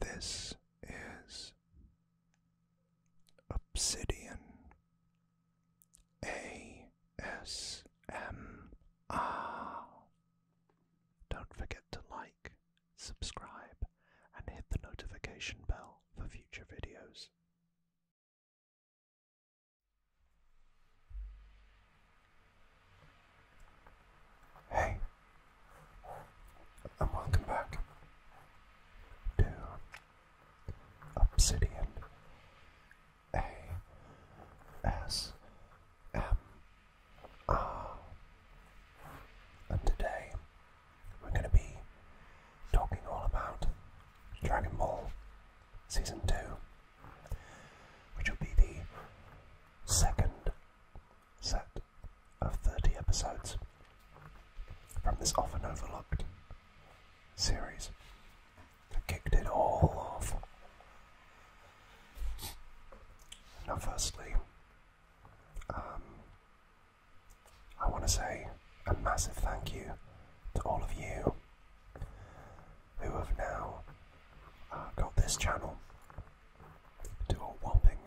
This is Obsidian A S M R. Don't forget to like, subscribe, and hit the notification bell for future videos. Hey, and welcome back to Obsidian A S M R. And today we're going to be talking all about Dragon Ball Season 2 which will be the second set of 30 episodes from this often overlooked series that kicked it all off. Now, firstly, um, I want to say a massive thank you to all of you who have now uh, got this channel to a whopping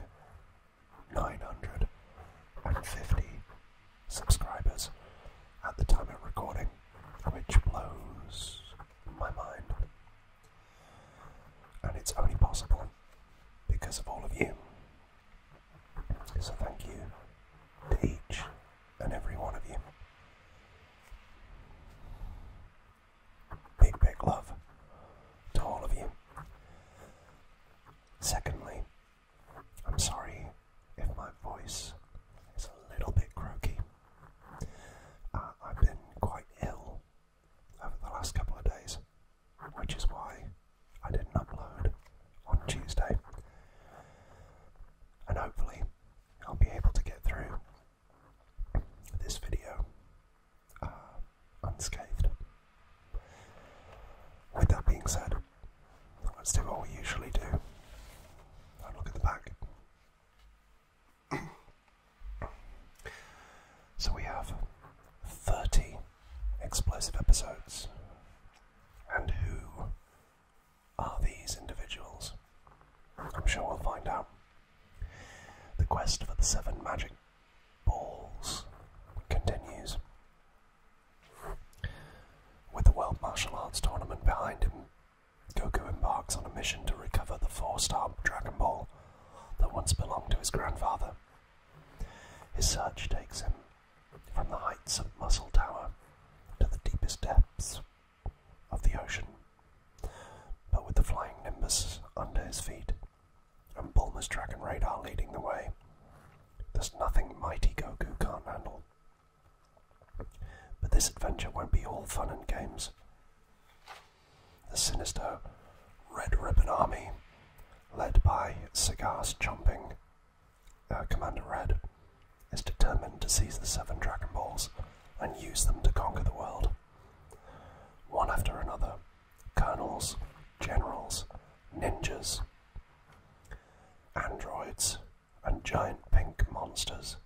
950 subscribers at the time of recording, which blows my mind. And it's only possible because of all of you. So thank you to each and every one of you. Big, big love to all of you. Secondly, I'm sorry if my voice is a little bit croaky. Uh, I've been quite ill over the last couple of days, which is why I didn't upload on Tuesday. And hopefully, I'll be able to get through this video uh, unscathed. With that being said, let's do what we usually do. I look at the back. so we have 30 explosive episodes. And who are these individuals? I'm sure we'll find out the quest for the seven magic balls continues. With the World Martial Arts Tournament behind him, Goku embarks on a mission to recover the four star Dragon Ball that once belonged to his grandfather. His search takes him from the heights of Muscle Tower to the deepest depths of the ocean, but with the flying Nimbus under his feet and Bulma's Dragon Radar leading the way, there's nothing mighty Goku can't handle. But this adventure won't be all fun and games. The sinister Red Ribbon Army, led by Cigars Chomping uh, Commander Red, is determined to seize the seven Dragon Balls and use them to conquer the world. One after another colonels, generals, ninjas, androids, and giant pink monsters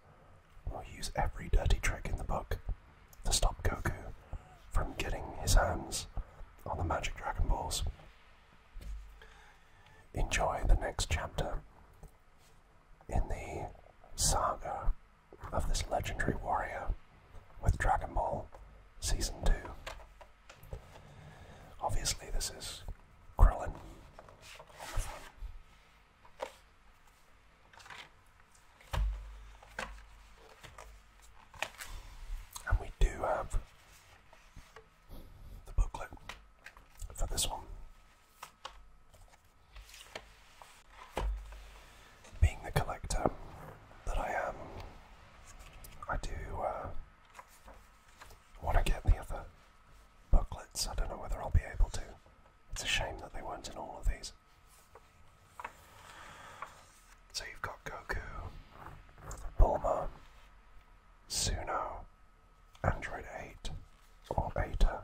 will use every dirty trick in the book to stop Goku from getting his hands on the magic Dragon Balls. Enjoy the next chapter in the saga of this legendary warrior with Dragon Ball Season 2. Obviously, this is Krillin And we do have the booklet for this one being the collector that I am, I do uh, want to get the other booklets. I don't know whether I'll be able to. It's a shame that they weren't in all of these. So you've got Goku, Bulma, Suno, Android 8, or Beta,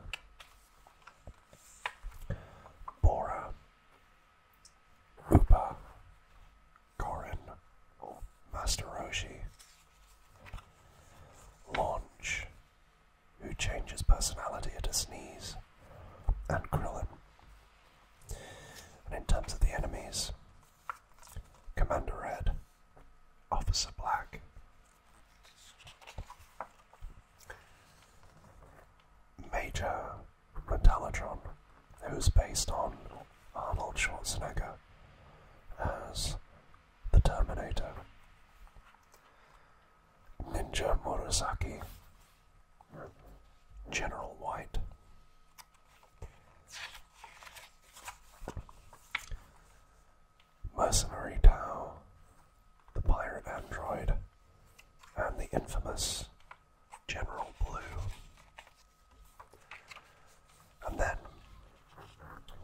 Bora, Rupa, Gorin, Master Roshi. Launch, who changes personality at a sneeze, and Krillin. And in terms of the enemies, Commander Red, Officer Black, Major Metallatron, who's based on Arnold Schwarzenegger as the Terminator. Ninja Murasaki, General White. Mercenary Tao, the Pirate Android, and the infamous General Blue. And then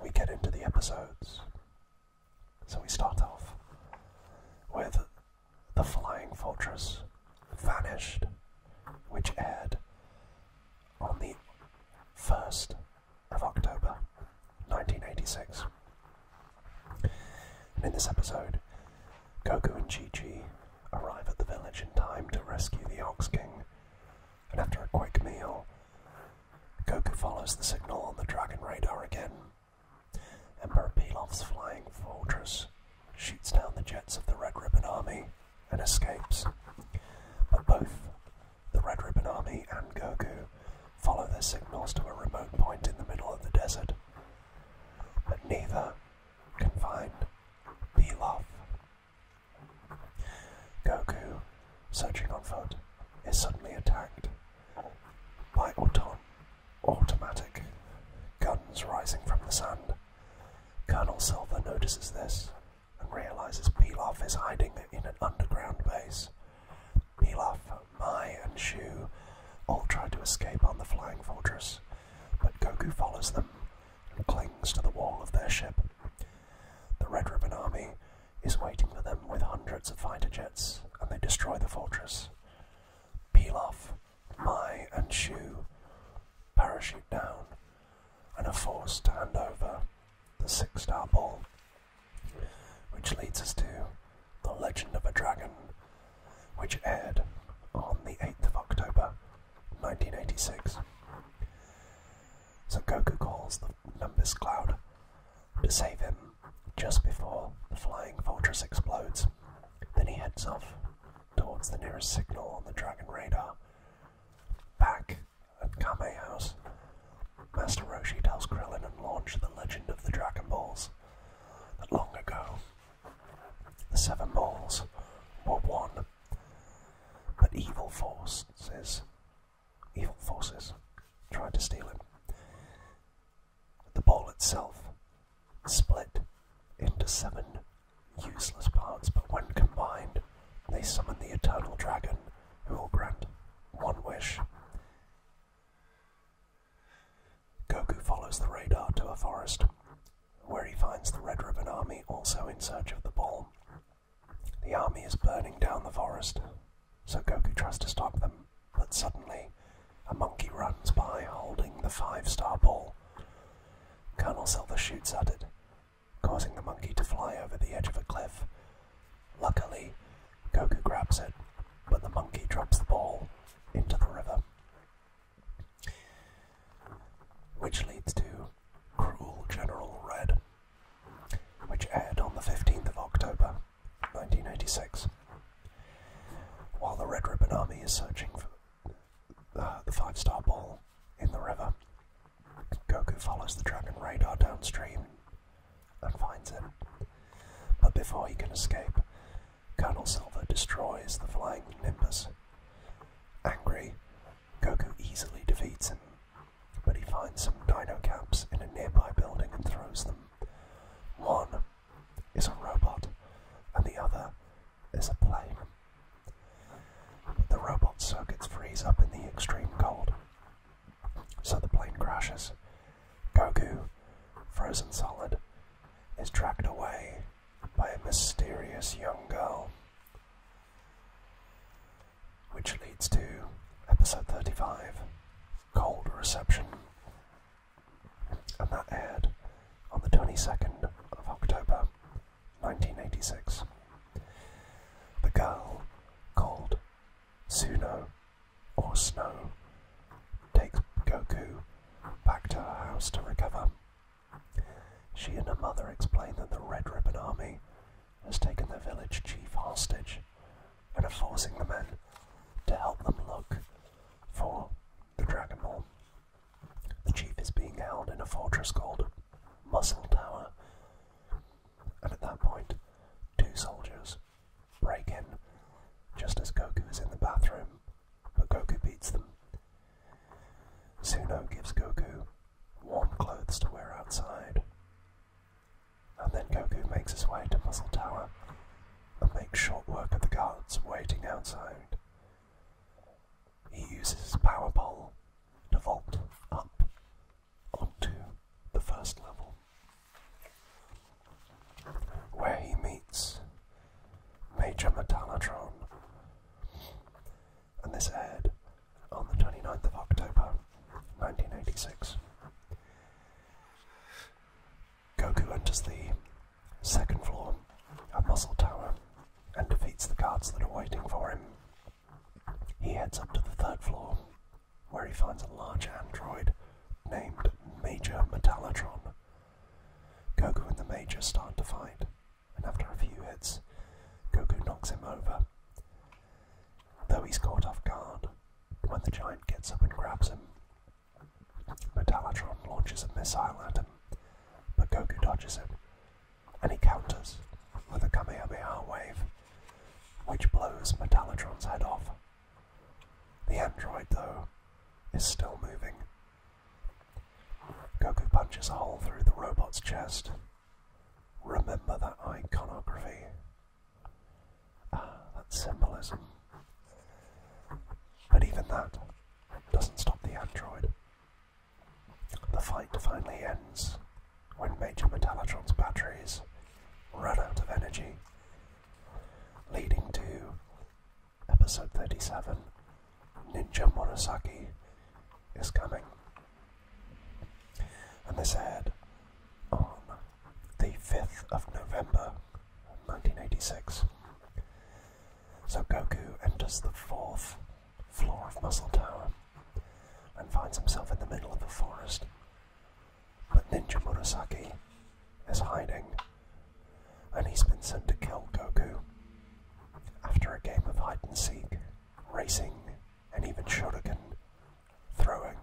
we get into the episodes. So we start off with The Flying Fortress Vanished, which aired on the 1st of October 1986. in this episode, Goku and Chi Chi arrive at the village in time to rescue the Ox King, and after a quick meal, Goku follows the signal on the Dragon radar again. Emperor Pilaf's flying fortress shoots down the jets of the Red Ribbon Army and escapes. But both the Red Ribbon Army and Goku follow their signals to a remote point in the middle of the desert. But neither can find Pilaf. Goku, searching on foot, is suddenly attacked by autom automatic guns rising from the sand. Colonel Silver notices this and realizes Pilaf is hiding in an underground base. Pilaf Mai and Shu all try to escape on the Flying Fortress, but Goku follows them and clings to the wall of their ship. The Red Ribbon Army is waiting for them with hundreds of fighter jets, and they destroy the fortress. Pilaf, Mai, and Shu parachute down and are forced to hand over the six star ball which leads us to The Legend of a Dragon, which aired on the 8th of October 1986. So Goku calls the Nimbus Cloud to save him just before the flying fortress explodes. Then he heads off towards the nearest signal on the Dragon radar. Back at Kame House, Master Roshi tells Krillin and Launch the legend of the Dragon Balls. That long ago, the Seven Balls were one, but evil forces, evil forces, tried to steal him. The ball itself split into seven useless parts, but when combined, they summon the Eternal Dragon, who will grant one wish. Goku follows the radar to a forest, where he finds the Red Ribbon Army also in search of the ball. The army is burning down the forest, so Goku tries to stop them, but suddenly a monkey runs by holding the five star ball. Colonel Silver shoots at it, causing the monkey to fly over the edge of a cliff Luckily, Goku grabs it, but the monkey drops the ball into the river. Which leads to Cruel General Red, which aired on the 15th of October 1986. While the Red Ribbon Army is searching for uh, the five star ball in the river, Goku follows the Dragon Radar downstream and finds him. But before he can escape, Colonel Silver destroys the flying Nimbus. Angry, Goku easily defeats him, but he finds some dino caps in a nearby building and throws them. One is a robot, and the other is a plane. But the robot's circuits freeze up in the extreme cold, so the plane crashes. Goku, frozen solid, is dragged away by a mysterious young girl. Which leads to episode 35 Cold Reception. And that aired on the 22nd of October 1986. The girl called Suno or snow, takes Goku back to her house to recover. She and her mother explain that the Red Ribbon Army has taken the village chief hostage and are forcing the men to help them look for the Dragon Ball. The chief is being held in a fortress called Muscle Tower, and at that point, two soldiers break in just as Goku is in the bathroom, but Goku beats them. Suno gives Goku warm clothes to wear outside, and then Goku makes his way to Muzzle Tower and makes short work of the guards waiting outside. He uses his power pole to vault up onto the first level, where he meets Major Metallatron. And this aired on the 29th of October 1986. Goku enters the second floor at Muscle Tower and defeats the guards that are waiting for him. He heads up to the third floor where he finds a large android named Major Metalatron. Goku and the Major start to fight, and after a few hits, Goku knocks him over. Though he's caught off guard, when the giant gets up and grabs him, Metalatron launches a missile at him, but Goku dodges it, and he counters with a Kamehameha wave, which blows Metalatron's head off. The android, though, is still moving. Goku punches a hole through the robot's chest. Remember that iconography. Ah, that symbolism. But even that doesn't stop the android. The fight finally ends when Major Metallatron's batteries run out of energy leading to episode 37 Ninja Murasaki is coming. And this aired on the 5th of November 1986. So Goku enters the fourth floor of Muscle Tower and finds himself in the middle of a forest but Ninja Murasaki is hiding, and he's been sent to kill Goku. After a game of hide and seek, racing, and even shuriken throwing,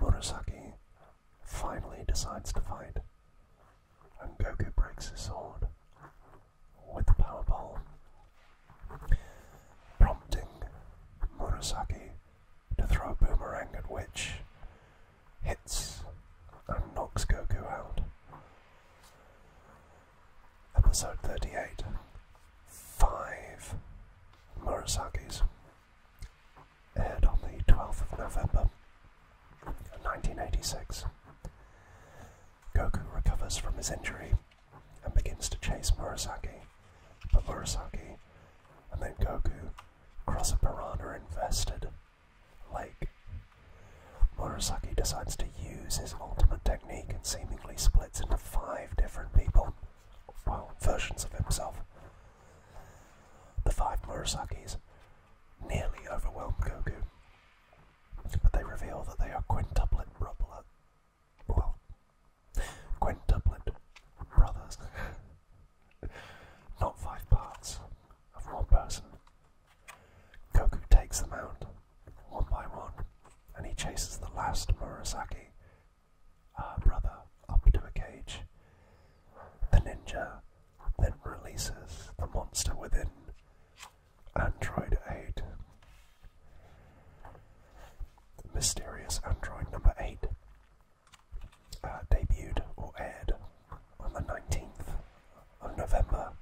Murasaki finally decides to fight, and Goku breaks his sword with the Power Ball, prompting Murasaki to throw a boomerang at which hits and knocks Goku out. Episode 38 Five Murasakis aired on the 12th of November 1986. Goku recovers from his injury and begins to chase Murasaki by Murasaki, and then Goku, cross a piranha infested lake. Murasaki decides to use his ultimate technique and seemingly splits into five different people, well, versions of himself. The five Murasakis nearly overwhelm Goku, but they reveal that they are quintuplet brother, Quintuplet brothers. Not five parts of one person. Goku takes them out, one by one, and he chases the last Murasaki, uh, brother, up to a cage. The ninja then releases the monster within Android 8. Mysterious Android number 8 uh, debuted or aired on the 19th of November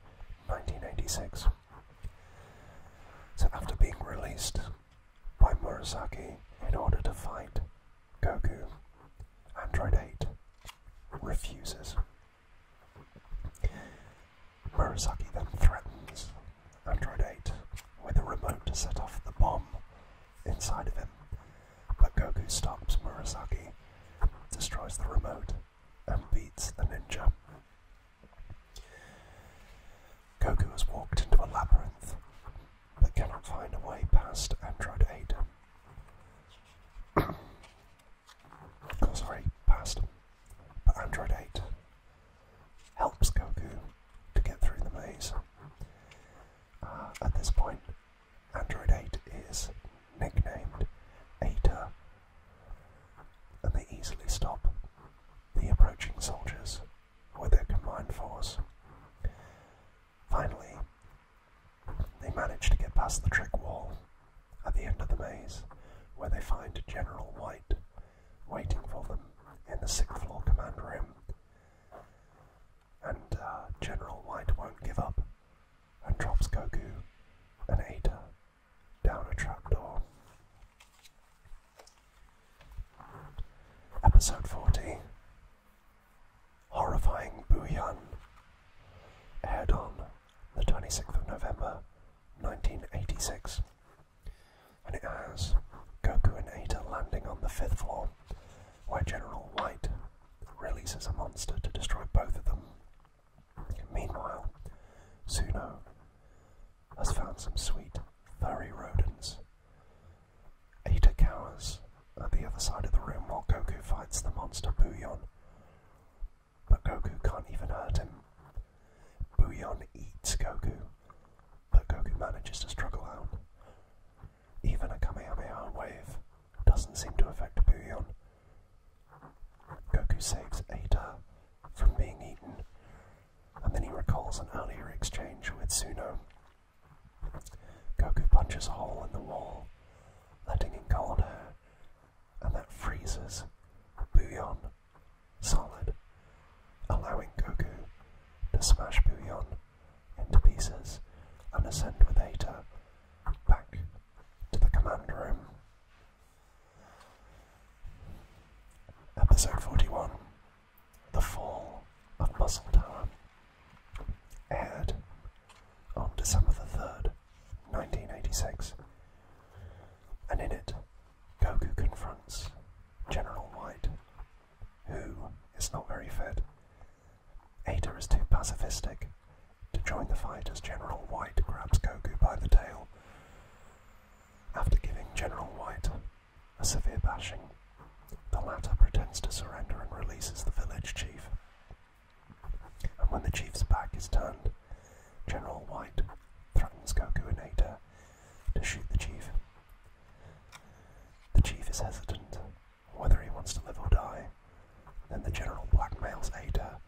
1986. So, after being released by Murasaki in order to fight Goku, Android 8 refuses. Murasaki then threatens Android 8 with a remote to set off the bomb inside of him. But Goku stops Murasaki, destroys the remote, and beats the ninja. Goku has walked into a labyrinth, but cannot find a way past Android 8. sorry, past. But Android 8 helps Goku to get through the maze. Uh, at this point, Android 8 is nicknamed Ada, and they easily stop the approaching soldiers with their combined force. Finally, they manage to get past the trick wall at the end of the maze, where they find General White waiting for them in the sixth floor command room and uh, General White won't give up and drops Goku and Ada down a trapdoor. Episode 40 Horrifying Booyan aired on the 26th of November 1986 and it has Goku and Aita landing on the fifth floor, where General White releases a monster to destroy both of them. Meanwhile, Suno has found some sweet, furry rodents. Aita cowers at the other side of the room while Goku fights the monster Bouillon. But Goku can't even hurt him. Bouillon eats Goku but Goku manages to struggle out. Even a Kamehameha wave doesn't seem to affect Booyon. Goku saves Ada from being eaten, and then he recalls an earlier exchange with Suno. Goku punches a hole in the wall, letting in cold air, and that freezes Booyon solid allowing Goku to smash Bouillon into pieces and ascend with Ada back to the command room. Episode 41 The Fall of Muscle Tower aired on December the 3rd, 1986, and in it, Goku confronts General White who is not very fit. Ada is too pacifistic to join the fight as General White grabs Goku by the tail. After giving General White a severe bashing, the latter pretends to surrender and releases the village chief. And when the chief's back is turned, General White threatens Goku and Ada to shoot the chief the chief is hesitant whether he wants to live or die. Then the general blackmails Ada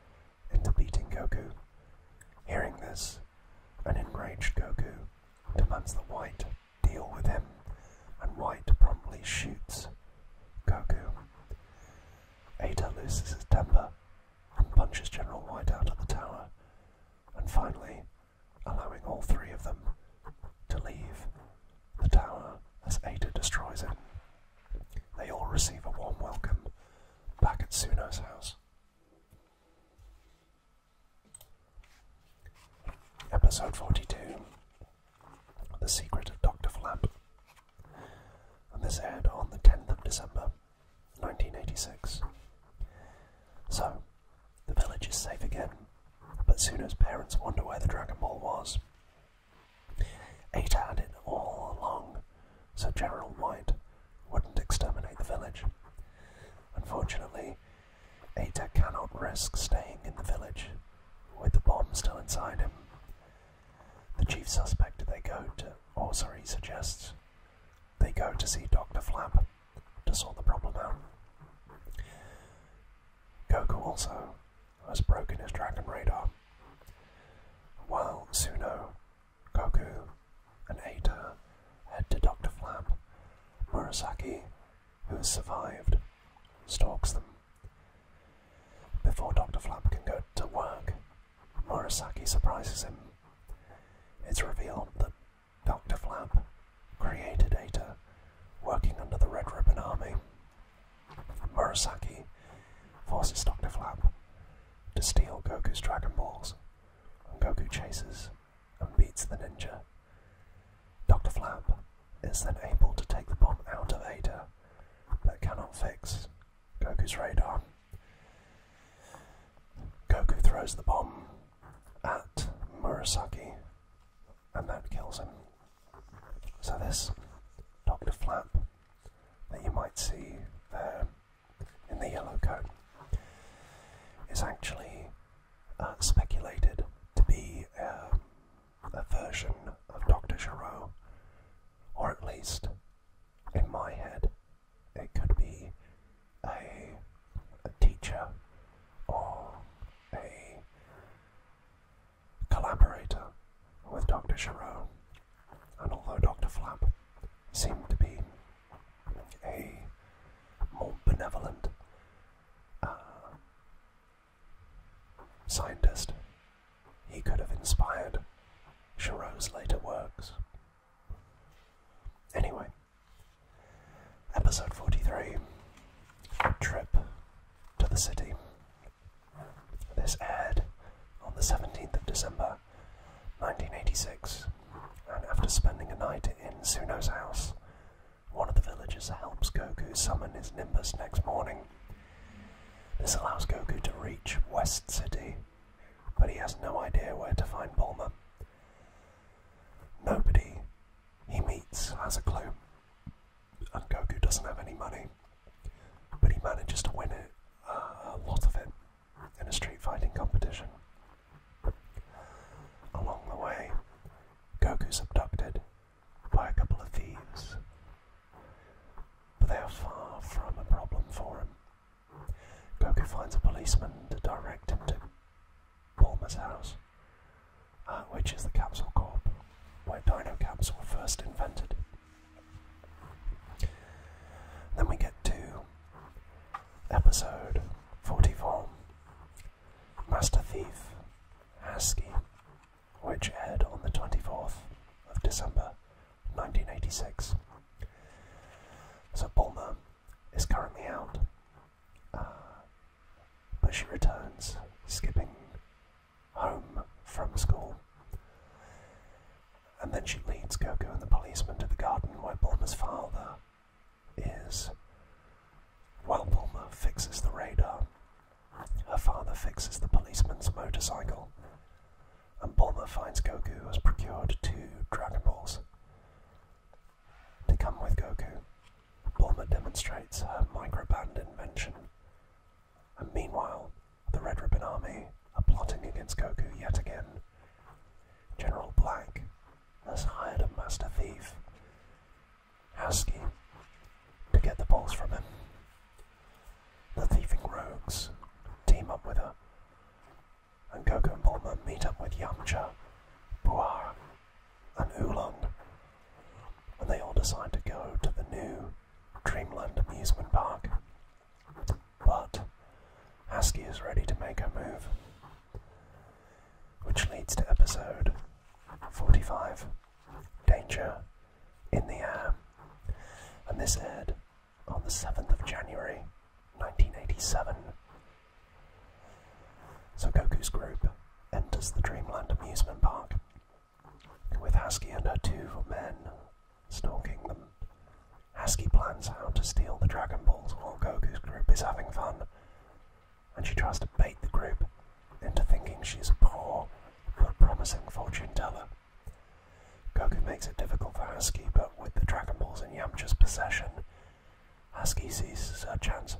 into beating Goku. Hearing this, an enraged Goku demands that White deal with him, and White promptly shoots Goku. Ada loses his temper and punches General White out of the tower, and finally, allowing all three of them to leave the tower as Ada destroys it. They all receive a warm welcome back at Suno's house. Episode 42 The Secret of Dr. Flap. And this aired on the 10th of December 1986. So, the village is safe again, but soon his parents wonder where the Dragon Ball was. Ada had it all along, so General White wouldn't exterminate the village. Unfortunately, Ada cannot risk staying in the village with the bomb still inside him. The chief suspect they go to, or sorry, suggests they go to see Dr. Flap, to sort the problem out. Goku also has broken his Dragon Radar. While Suno, Goku, and Aita head to Dr. Flap, Murasaki, who has survived, stalks them. Before Dr. Flap can go to work, Murasaki surprises him. It's revealed that Dr. Flap created Ada, working under the Red Ribbon Army. Murasaki forces Dr. Flap to steal Goku's Dragon Balls, and Goku chases and beats the ninja. Dr. Flap is then able to take the bomb out of Ada, but cannot fix Goku's radar. Goku throws the bomb at Murasaki, and that kills him. So this Doctor Flap that you might see in the yellow coat is actually uh, speculated to be um, a, version of Doctor Giraud, or at least in my head, it could be a, teacher or a collaborator with Dr. Charon, and although Dr. Flap seemed to be a more benevolent uh, scientist, he could have inspired Charon's later works. Anyway, Episode 43 Trip to the City. This aired on the 17th of December 1986, and after spending a night in Suno's house, one of the villagers helps Goku summon his Nimbus next morning. This allows Goku to reach West City, but he has no idea where to find Bulma. Nobody he meets has a clue, and Goku doesn't have any money, but he manages to win it, uh, a lot of it, in a street fighting competition. Along the way, Goku's abducted by a couple of thieves, but they are far from a problem for him. Goku finds a policeman to direct him to Palmer's house, uh, which is the capsule corp where dino caps were first invented. Then we get to episode 44 Master Thief Haskey, which aired on the 24th of December 1986. So Bulmer is currently out uh, but she returns, skipping home from school. And then she leads Goku and the policeman to the garden where Bulma's father is. While Bulma fixes the radar, her father fixes the policeman's motorcycle, and Bulma finds Goku has procured two Dragon Balls. To come with Goku, Bulma demonstrates her microband invention. And meanwhile, the Red Ribbon Army are plotting against Goku yet again. General Black has hired a master thief, Haski, to get the balls from him. The thieving rogues team up with her, and Goku and Bulma meet up with Yamcha, Buar, and Oolong, and they all decide to go to the new Dreamland amusement park. But Husky is ready to make her move, which leads to episode 45 Danger in the Air. And this aired on the 7th of January 1987 so Goku's group enters the Dreamland amusement park, with Hasuki and her two men stalking them. Hasuki plans how to steal the Dragon Balls while Goku's group is having fun, and she tries to bait the group into thinking she's a poor but promising fortune teller. Goku makes it difficult for Hasuki, but with the Dragon Balls in Yamcha's possession, Husky seizes her chance.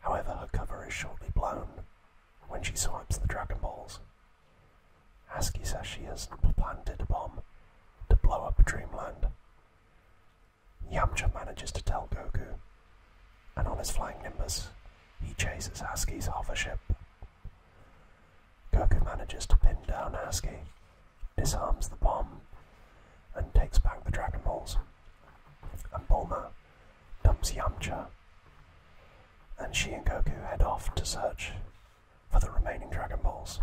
However, her cover is shortly blown when she swipes the Dragon Balls. Husky says she has planted a bomb to blow up Dreamland. Yamcha manages to tell Goku, and on his flying Nimbus, he chases Husky's hover ship. Goku manages to pin down Husky disarms the bomb, and takes back the Dragon Balls. And Bulma dumps Yamcha, and she and Goku head off to search for the remaining Dragon Balls.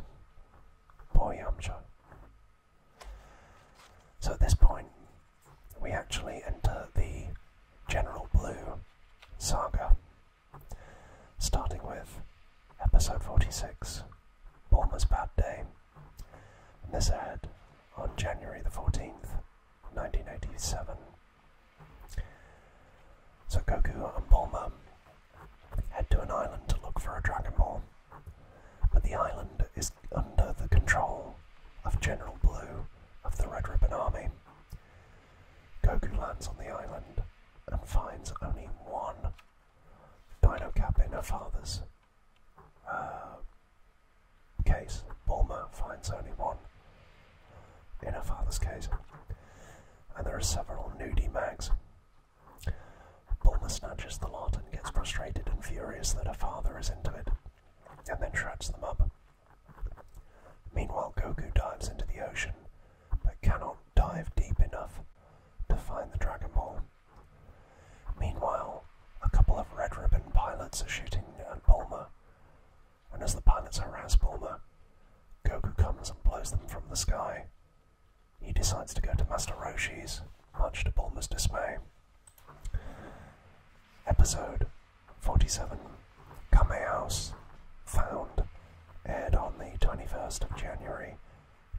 Poor Yamcha. So at this point, we actually enter the General Blue saga, starting with Episode 46 Bournemouth's Bad Day. And this aired on January the 14th, 1987. So Goku and Bulma head to an island to look for a Dragon Ball, but the island is under the control of General Blue of the Red Ribbon Army. Goku lands on the island and finds only one Dino cap in her father's uh, case. Bulma finds only one in her father's case. And there are several nudie mags. Bulma snatches the lot and gets frustrated and furious that her father is into it, and then shreds them up. Meanwhile, Goku dives into the ocean, but cannot dive deep enough to find the Dragon Ball. Meanwhile, a couple of Red Ribbon pilots are shooting at Bulma, and as the pilots harass Bulma, Goku comes and blows them from the sky. He decides to go to Master Roshi's, much to Bulma's dismay. Episode 47 Kame House Found aired on the 21st of January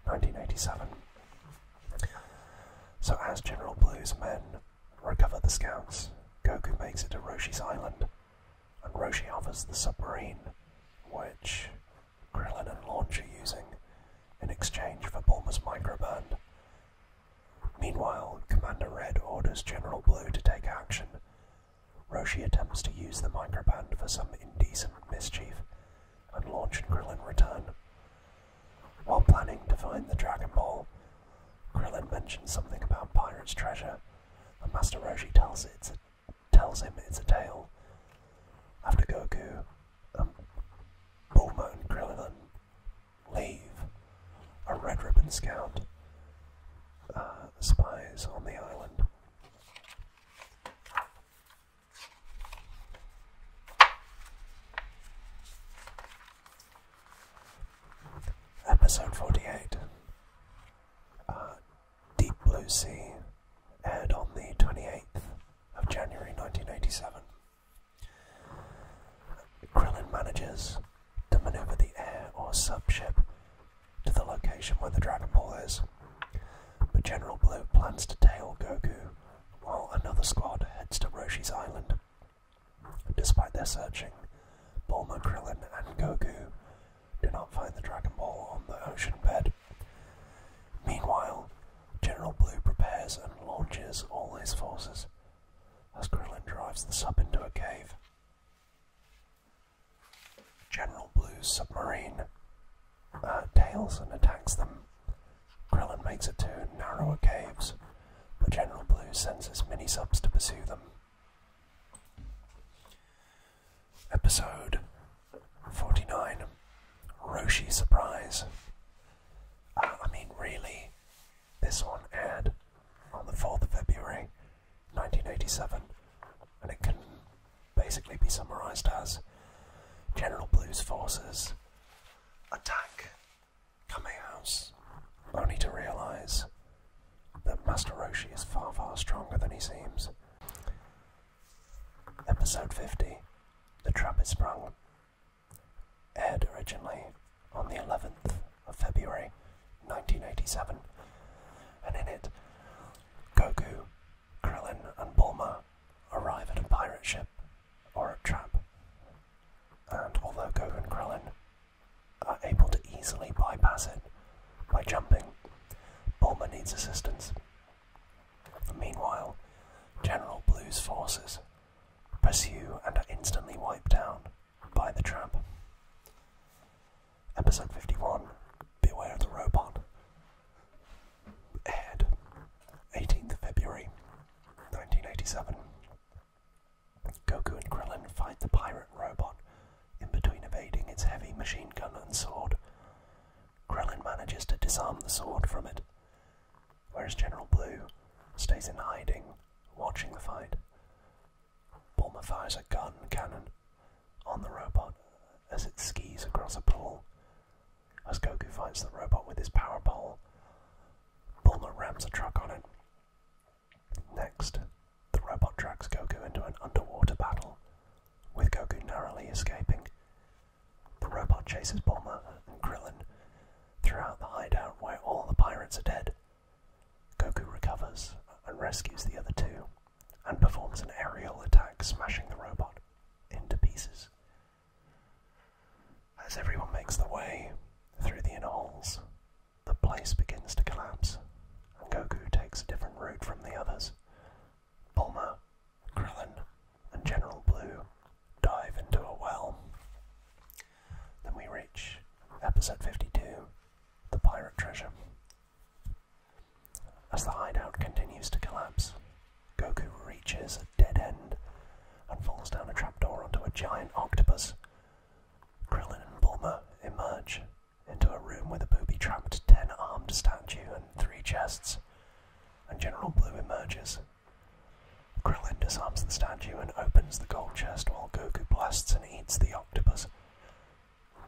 1987. So, as General Blue's men recover the scouts, Goku makes it to Roshi's island, and Roshi offers the submarine, which Krillin and Launch are using, in exchange for Bulma's microband. Meanwhile, Commander Red orders General Blue to take action. Roshi attempts to use the microband for some indecent mischief, and launch launched Krillin Return. While planning to find the Dragon Ball, Krillin mentions something about pirate's treasure, and Master Roshi tells, it's tells him it's a tale. After Goku, um, Bulma and Krillin leave, a Red Ribbon Scout uh, spies on the island. Episode 48 uh, Deep Blue Sea aired on the 28th of January 1987. Krillin manages to maneuver the air or sub ship to the location where the Dragon Ball is but General Blue plans to tail Goku, while another squad heads to Roshi's Island. Despite their searching, Bulma, Krillin, and Goku do not find the Dragon Ball on the ocean bed. Meanwhile, General Blue prepares and launches all his forces as Krillin drives the sub into a cave. General Blue's submarine uh, tails and attacks them. Krillin makes it to narrower caves, but General Blue sends his mini subs to pursue them. Episode 49 Roshi Surprise. Uh, I mean, really, this one aired on the 4th of February 1987, and it can basically be summarised as General Blue's forces attack Kamei House, only to realise that Master Roshi is far, far stronger than he seems. Episode 50 The Trap is Sprung aired originally on the 11th of February 1987, and in it, Goku Krillin and Bulma arrive at a pirate ship or a trap, and although Goku and Krillin are able to easily bypass it by jumping, Bulma needs assistance. Meanwhile, General Blue's forces pursue and are instantly wiped down by the trap. Episode 51 Beware of the Robot aired 18th February 1987. Goku and Krillin fight the pirate robot in between evading its heavy machine gun and sword. Krillin manages to disarm the sword from it, whereas General Blue stays in hiding, watching the fight. Bulma fires a gun cannon on the robot as it skis across a pool as Goku fights the robot with his power pole, Bulma rams a truck on it. Next, the robot drags Goku into an underwater battle, with Goku narrowly escaping. The robot chases Bulma and Krillin throughout the hideout where all the pirates are dead. Goku recovers and rescues the other two, and performs an aerial attack, smashing the robot into pieces. As everyone makes the way through the inner halls, the place begins to collapse, and Goku takes a different route from the others. Bulma, Krillin, and General Blue dive into a well. Then we reach episode 52 The Pirate Treasure. As the hideout continues to collapse, Goku reaches a dead end and falls down a trapdoor onto a giant octopus. Krillin and Bulma emerge into a room with a booby-trapped ten-armed statue and three chests, and General Blue emerges. Krillin disarms the statue and opens the gold chest while Goku blasts and eats the octopus.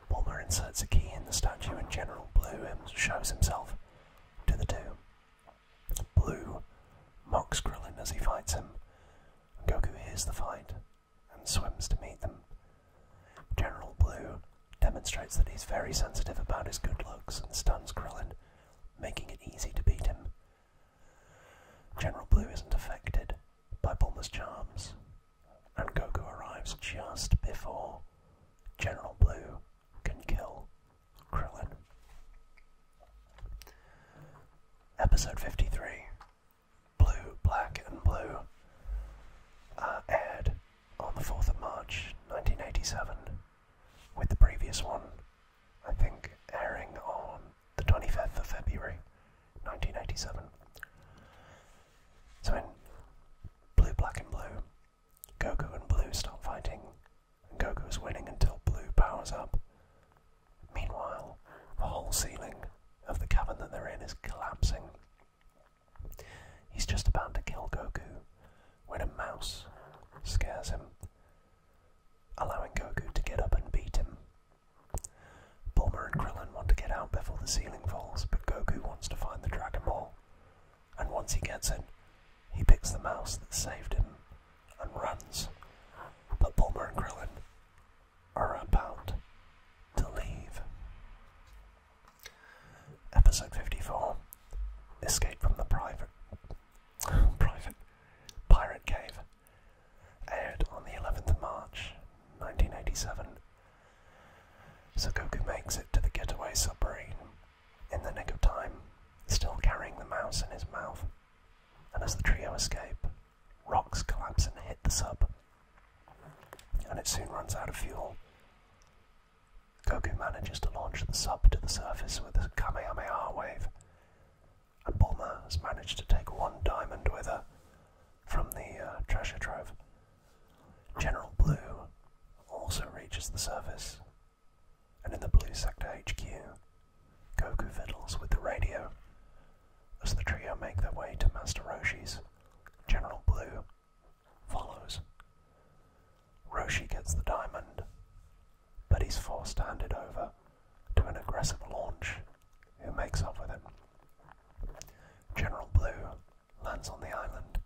Bulma inserts a key in the statue and General Blue shows himself to the two. Blue mocks Krillin as he fights him. Goku hears the fight and swims to meet them. General Blue demonstrates that he's very sensitive about his good looks and stuns Krillin, making it easy to beat him. General Blue isn't affected by Bulma's charms, and Goku arrives just before General Blue can kill Krillin. Episode 53, Blue, Black, and Blue, uh, aired on the 4th of March 1987, with the previous one, I think, airing on the 25th of February 1987. So in Blue, Black, and Blue, Goku and Blue start fighting, and Goku is winning until Blue powers up. Meanwhile, the whole ceiling of the cavern that they're in is collapsing. He's just about to kill Goku when a mouse scares him, allowing Goku to get up and beat him. Bulma and Krillin want to get out before the ceiling falls, but Goku wants to find the Dragon Ball and once he gets in, he picks the mouse that saved him and runs. But Bulmer and Krillin are about to leave. Episode 54 Escape from the Private Private Pirate Cave aired on the 11th of March 1987. So Goku makes it to the getaway submarine in the nick of time, still carrying the mouse in his mouth. And as the trio escape, rocks collapse and hit the sub, and it soon runs out of fuel. Goku manages to launch the sub to the surface with a Kamehameha wave, and Bulma has managed to take one diamond with her from the uh, treasure trove General Blue also reaches the surface, and in the Blue Sector HQ, Goku fiddles with the radio as the trio make their way to Master Roshi's. General Blue follows. Roshi gets the diamond, but he's forced to hand it over to an aggressive launch who makes off with it. General Blue lands on the island,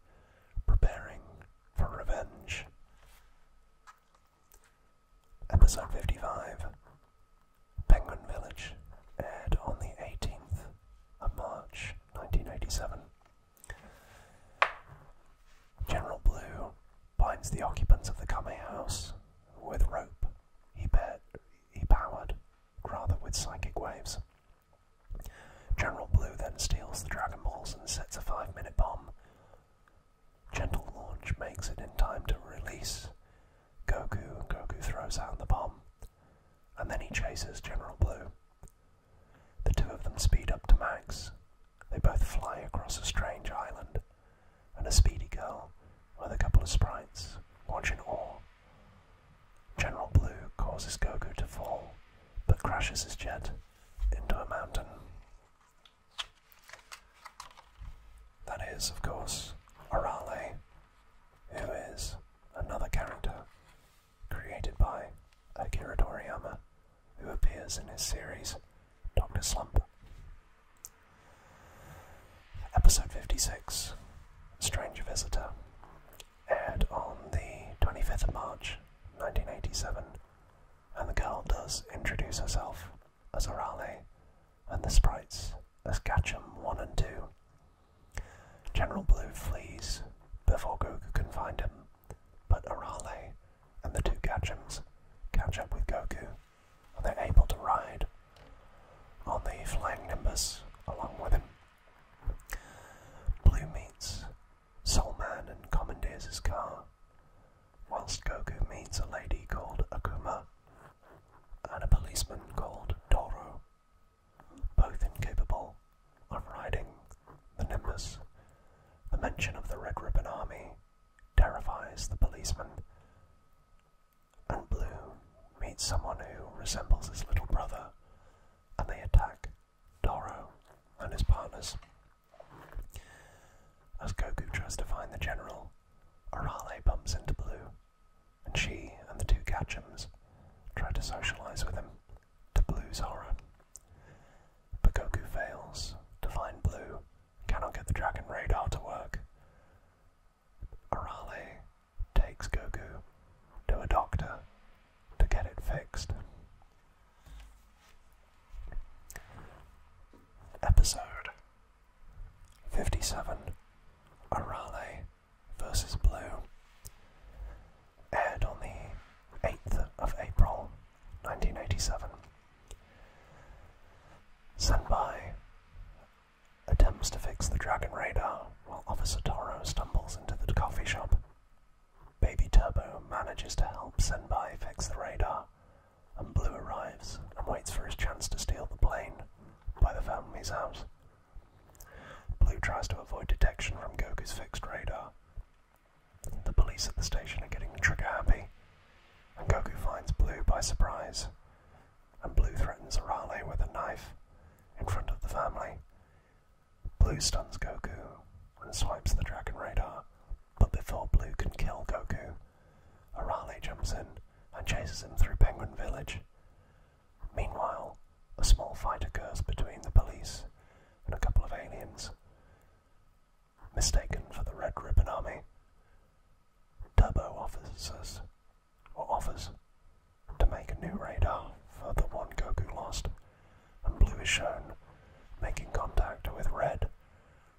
preparing for revenge. Episode 55 Penguin Village aired on the 18th of March 1987. General Blue binds the occupants of the Kame house with rope he, he powered, rather with psychic waves. General Blue then steals the Dragon Balls and sets a five minute bomb. Gentle launch makes it in time to release Goku, and Goku throws out the bomb, and then he chases General Blue. The two of them speed up to Max. They both fly across a strange island, and a speedy girl with a couple of sprites watching all. General Blue causes Goku to fall but crashes his jet into a mountain. That is, of course, Arale, who is another character created by Akira Toriyama, who appears in his series Doctor Slump. Episode 56 Stranger Visitor aired on the 25th of March 1987, and the girl does introduce herself as Orale and the sprites as Gatcham 1 and 2. General Blue flees before Goku can find him, but Arale and the two Gatchams catch up with Goku and they're able to ride on the flying Nimbus along with him. Blue meets Solman and commandeers his car, whilst Goku meets a lady called Akuma and a policeman called Toro, both incapable of riding the Nimbus. The mention of the Red Ribbon Army terrifies the policeman, and Blue meets someone who resembles his little brother, and they attack Doro and his partners. As Goku tries to find the general, Arale bumps into Blue, and she and the two Gatchums try to socialize with him, to Blue's horror. But Goku fails to find Blue, cannot get the Dragon Radar to work. Arale takes Goku to a doctor to get it fixed. Episode 57 Arale versus Blue aired on the 8th of April 1987. Senpai attempts to fix the Dragon Radar while Officer Toro stumbles into the coffee shop Baby Turbo manages to help Senpai fix the radar, and Blue arrives and waits for his chance to steal the plane by the family's house. Blue tries to avoid detection from Goku's fixed radar. The police at the station are getting trigger happy, and Goku finds Blue by surprise, and Blue threatens Arale with a knife in front of the family, Blue stuns Goku and swipes the Dragon Radar, but before Blue can kill Goku, Arale jumps in and chases him through Penguin Village. Meanwhile, a small fight occurs between the police and a couple of aliens. Mistaken for the Red Ribbon Army, Turbo offers us, or offers, to make a new radar for the one Goku lost and blue is shown making contact with red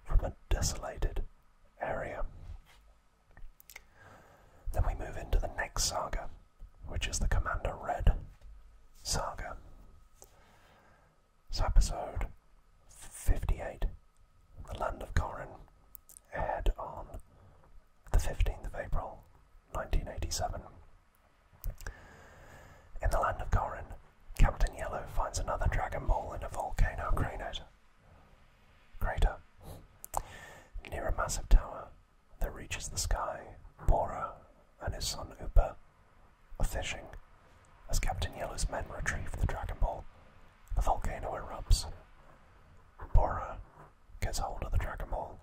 from a desolated area. Then we move into the next saga, which is the Commander Red saga. episode 58, The Land of Corin, aired on the 15th of April 1987. In the land of Corrin, Captain Yellow finds another Dragon Ball in a volcano crater. Crater. Near a massive tower that reaches the sky, Bora and his son Upa are fishing. As Captain Yellow's men retrieve the Dragon Ball, the volcano erupts. Bora gets hold of the Dragon Ball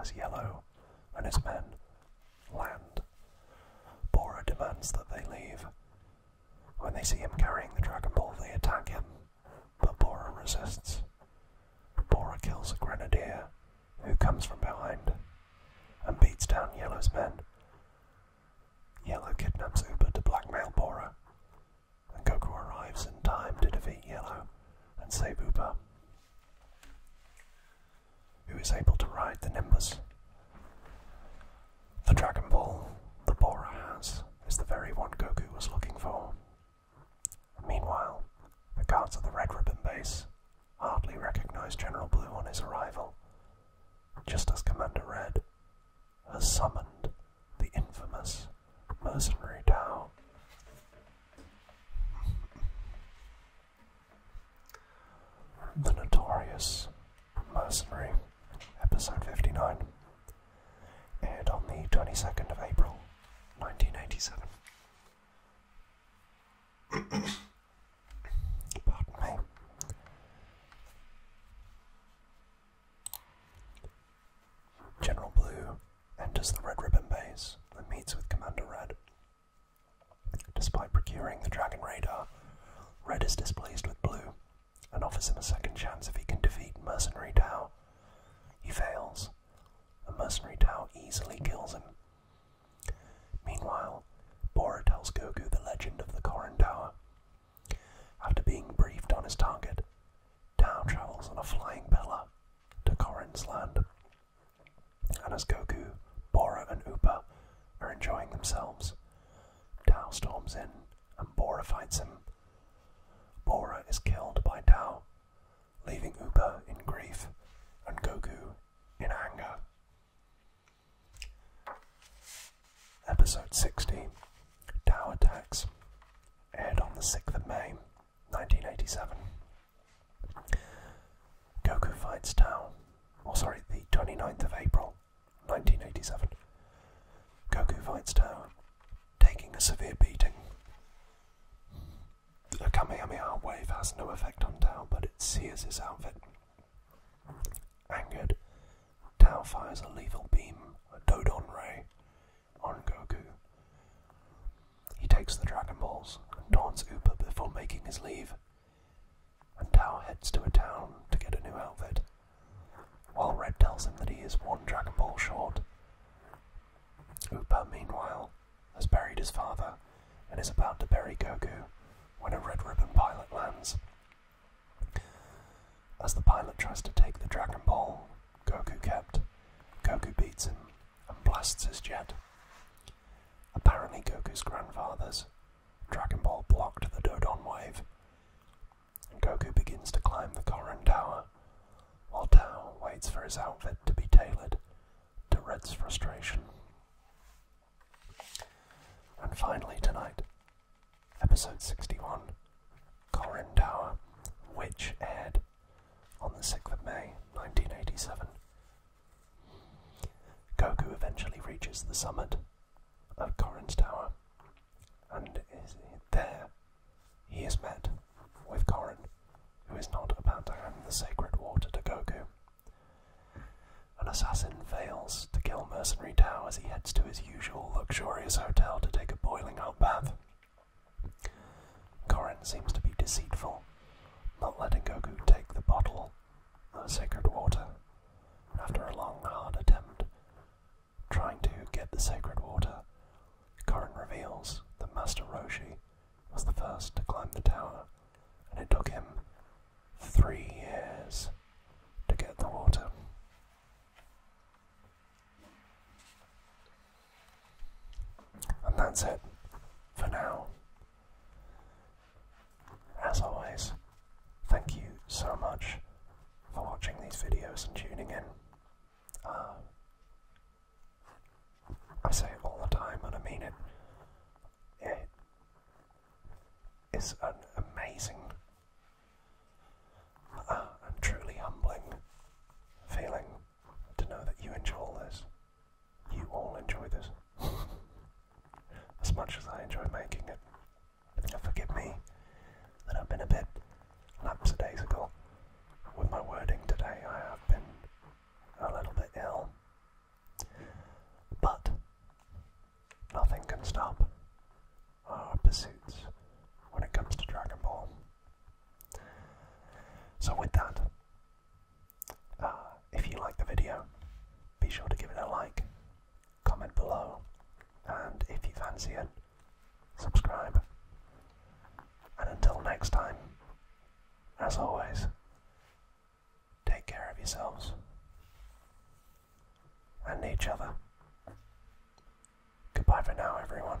as Yellow and his men land. Bora demands that they leave. When they see him carrying the Dragon Ball, they attack him, but Bora resists. Bora kills a grenadier who comes from behind and beats down Yellow's men. Yellow kidnaps Uber to blackmail Bora, and Goku arrives in time to defeat Yellow and save Uber who is able to ride the Nimbus. The Dragon Ball the Borah has is the very one Goku was looking for. Meanwhile, the guards of the Red Ribbon base hardly recognize General Blue on his arrival, just as Commander Red has summoned the infamous mercenary Tao. The Notorious Mercenary, episode 59, aired on the 22nd of April 1987. Pardon me. General Blue enters the Red Ribbon Base and meets with Commander Red. Despite procuring the Dragon Radar, Red is displeased with Blue and offers him a second chance if he can defeat Mercenary Tao. He fails, and Mercenary Tao easily kills him. Meanwhile, Bora tells Goku the legend of the Korin Tower. After being briefed on his target, Tao travels on a flying pillar to Korin's land and as Goku, Bora, and Upa are enjoying themselves, Tao storms in and Bora fights him. Bora is killed by Tao, leaving Upa in grief and Goku in anger. Episode 60 Tao Attacks aired on the 6th of May 1987. Goku fights Tao. Oh, sorry, the 29th of April, 1987. Goku fights Tao taking a severe beating. A Kamehameha wave has no effect on Tao, but it sears his outfit. Angered, Tao fires a lethal beam, a Dodon ray, on Goku. He takes the Dragon Balls and taunts Upa before making his leave. And Tao heads to a town to get a new outfit, while Red tells him that he is one Dragon Ball short. Upa, meanwhile, has buried his father and is about to bury Goku when a red ribbon pilot lands. As the pilot tries to take the Dragon Ball Goku kept, Goku beats him and blasts his jet. Apparently, Goku's grandfathers, Dragon Ball blocked the Dodon wave, and Goku begins to climb the Korin Tower, while Tao waits for his outfit to be tailored to Red's frustration. And finally, tonight, episode 61 Korin Tower, which aired on the 6th of May 1987. Goku eventually reaches the summit of Korin's Tower, and is there he is met with Korin, who is not about to hand the sacred water to Goku. An assassin fails to kill Mercenary Tao as he heads to his usual luxurious hotel to take a boiling hot bath. Korin seems to be deceitful, not letting Goku take the bottle of sacred water. After a long, hard attempt trying to get the sacred water, Korin reveals that Master Roshi was the first to climb the tower, and it took him three years to get the water. And that's it for now. As always, thank you so much for watching these videos and tuning in. Uh, I say it all the time and I mean it. It is an amazing uh, and truly humbling feeling to know that you enjoy all this you all enjoy this as much as I enjoy making it. forgive me that I've been a bit lapsidaisical with my wording today. I have been a little bit ill, but nothing can stop our pursuits when it comes to Dragon Ball. So with that, uh, if you like the video, be sure to give it a like, comment below, and if you fancy it, subscribe. And until next time, as always, take care of yourselves and each other. Goodbye for now, everyone.